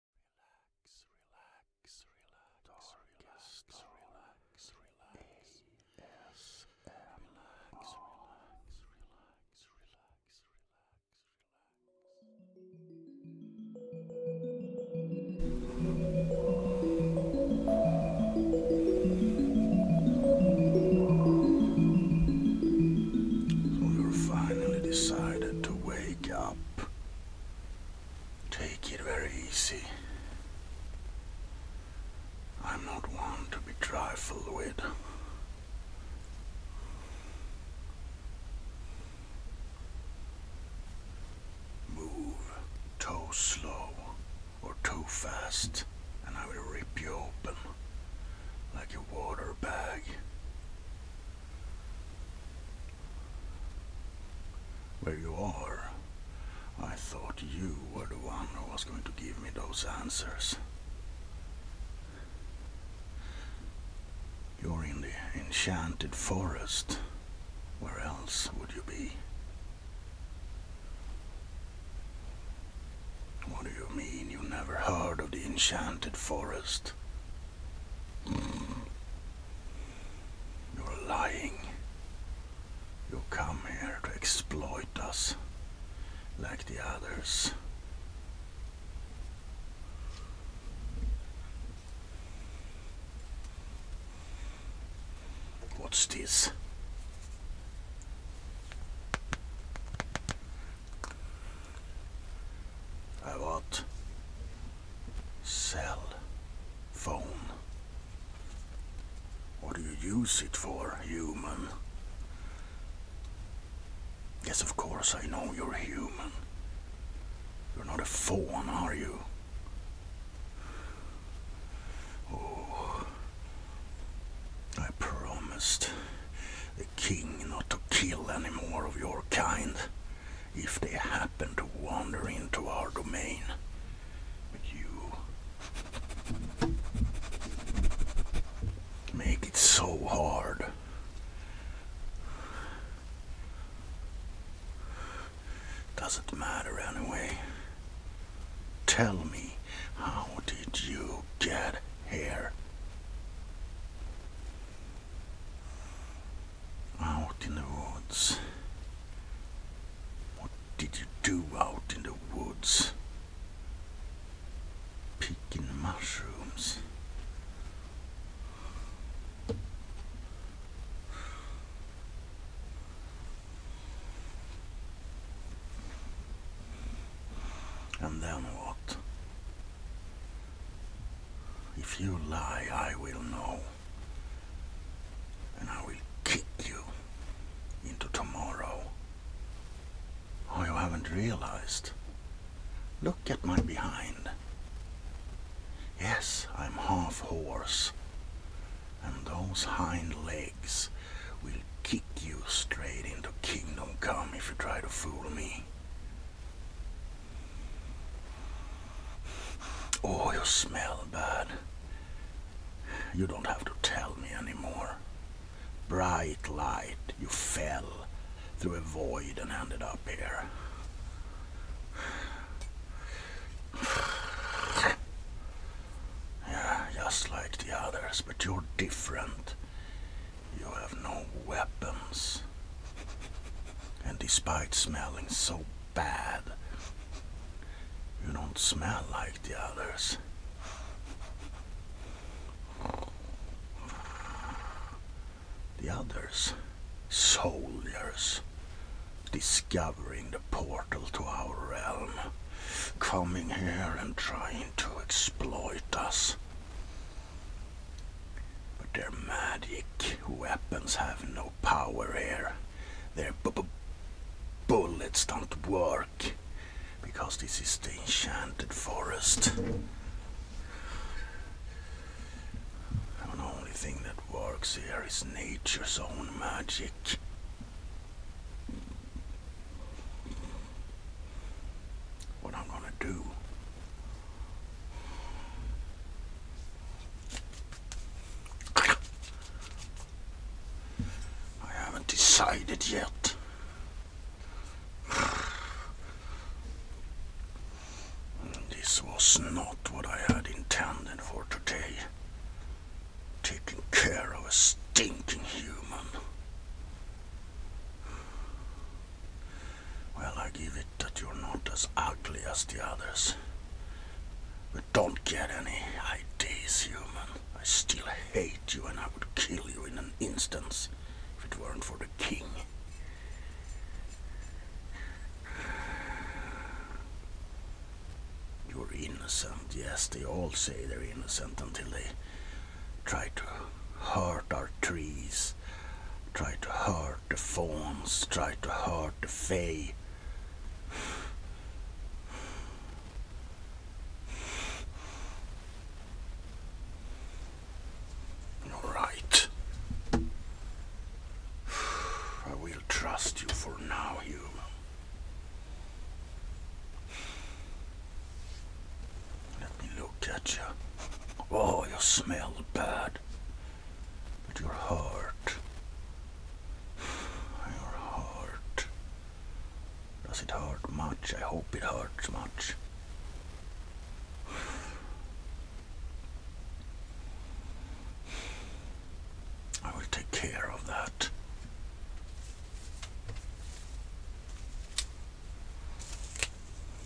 Relax, relax, relax, relax, relax, relax. Yes, relax, relax, relax, relax, relax, relax. We're finally decided to wake up. Take it very easy. I'm not one to be trifled with. Move too slow or too fast and I will rip you open like a water bag. Where you are, I thought you were the one who was going to give me those answers. You're in the enchanted forest. Where else would you be? What do you mean you never heard of the enchanted forest? Mm. You're lying. You come here to exploit us like the others. What's this? I what? Cell phone. What do you use it for, human? Yes, of course, I know you're human. You're not a phone, are you? Oh, I promised the king not to kill any more of your kind if they happen to wander into our domain. But you make it so hard. Doesn't matter anyway. Tell me, how did you get here? Out in the woods. What did you do out in the woods? Picking mushrooms. And then what? If you lie, I will know. And I will kick you into tomorrow. Oh, you haven't realized. Look at my behind. Yes, I'm half horse. And those hind legs will kick you straight into kingdom come if you try to fool me. Oh, you smell bad. You don't have to tell me anymore. Bright light, you fell through a void and ended up here. Yeah, just like the others, but you're different. You have no weapons. And despite smelling so bad, you don't smell like the others. The others, soldiers, discovering the portal to our realm, coming here and trying to exploit us. But their magic weapons have no power here. Their bullets don't work because this is the enchanted forest. the only thing that works here is nature's own magic. What I'm gonna do I haven't decided yet. This was not what I had intended for today. Taking care of a stinking human. Well, I give it that you're not as ugly as the others. But don't get any ideas, human. I still hate you and I would kill you in an instant if it weren't for the king. You're innocent. Yes, they all say they're innocent until they try to hurt our trees, try to hurt the fawns, try to hurt the fae. You're right. I will trust you for now, human. Let me look at you. Oh, you smell bad but your heart, your heart, does it hurt much? I hope it hurts much. I will take care of that.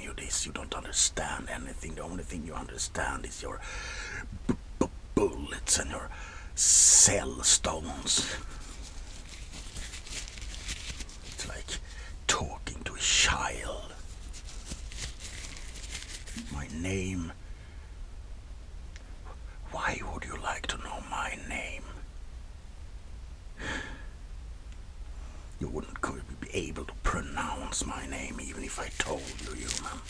you don't understand anything. The only thing you understand is your bullets and your cell stones. It's like talking to a child. My name. Why would you like to know my name? You wouldn't be able to pronounce my name even if I told you, you human.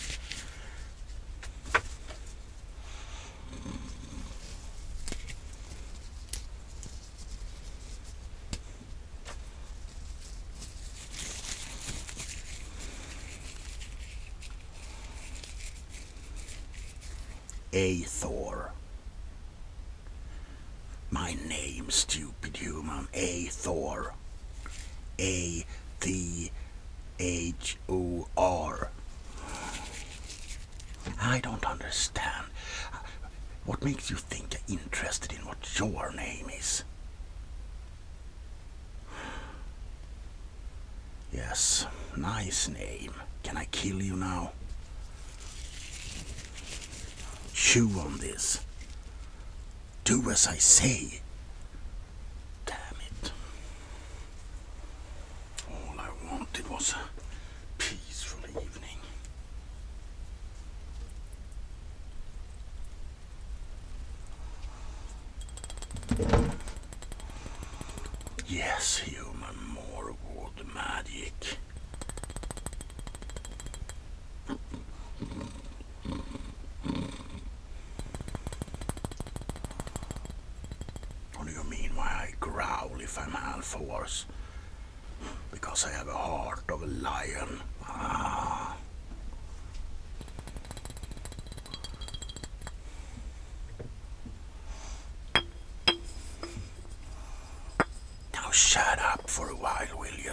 Athor. My name's Stu. Dupidium, i A Thor. A T H O R. I don't understand. What makes you think I'm interested in what your name is? Yes, nice name. Can I kill you now? Chew on this. Do as I say. Damn it. All I wanted was a peaceful evening. Yes, human, more award magic. What do mean I growl if I'm half horse? Because I have a heart of a lion. Ah. Now shut up for a while, will you?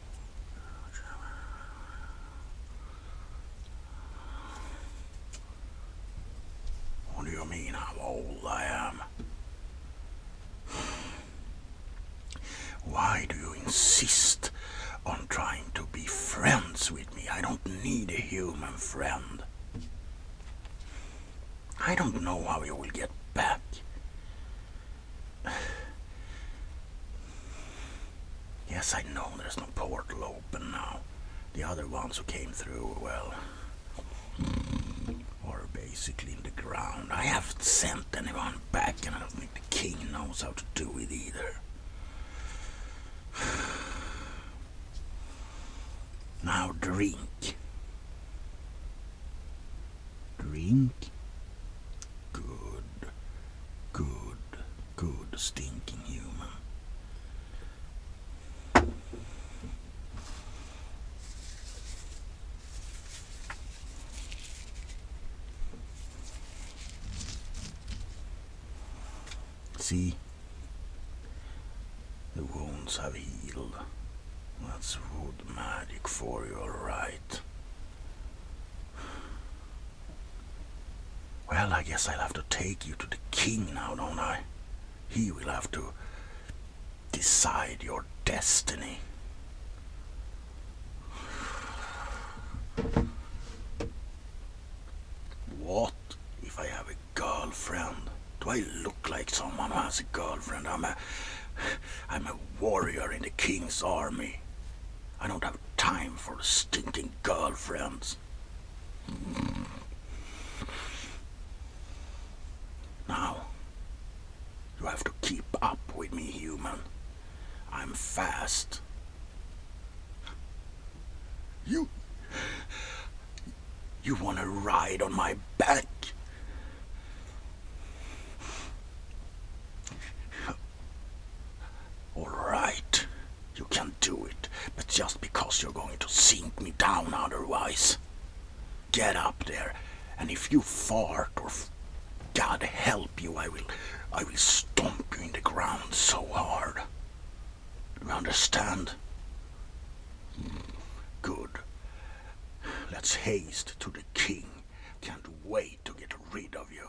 What do you mean how old I am? Why do you insist on trying to be friends with me? I don't need a human friend. I don't know how you will get back. Yes, I know there's no portal open now. The other ones who came through, well, are basically in the ground. I haven't sent anyone back, and I don't think the king knows how to do it either. Now drink. Drink. Good good, good stinking human. See, the wounds have healed. That's wood magic for you, all right. Well, I guess I'll have to take you to the king now, don't I? He will have to decide your destiny. What if I have a girlfriend? Do I look like someone who has a girlfriend? I'm a, I'm a warrior in the king's army. I don't have time for stinking girlfriends. Now, you have to keep up with me, human. I'm fast. You... You want to ride on my back? Alright, you can do it, but just because you're going to sink me down otherwise. Get up there, and if you fart or God help you, I will, I will stomp you in the ground so hard. You understand? Good. Let's haste to the king. Can't wait to get rid of you.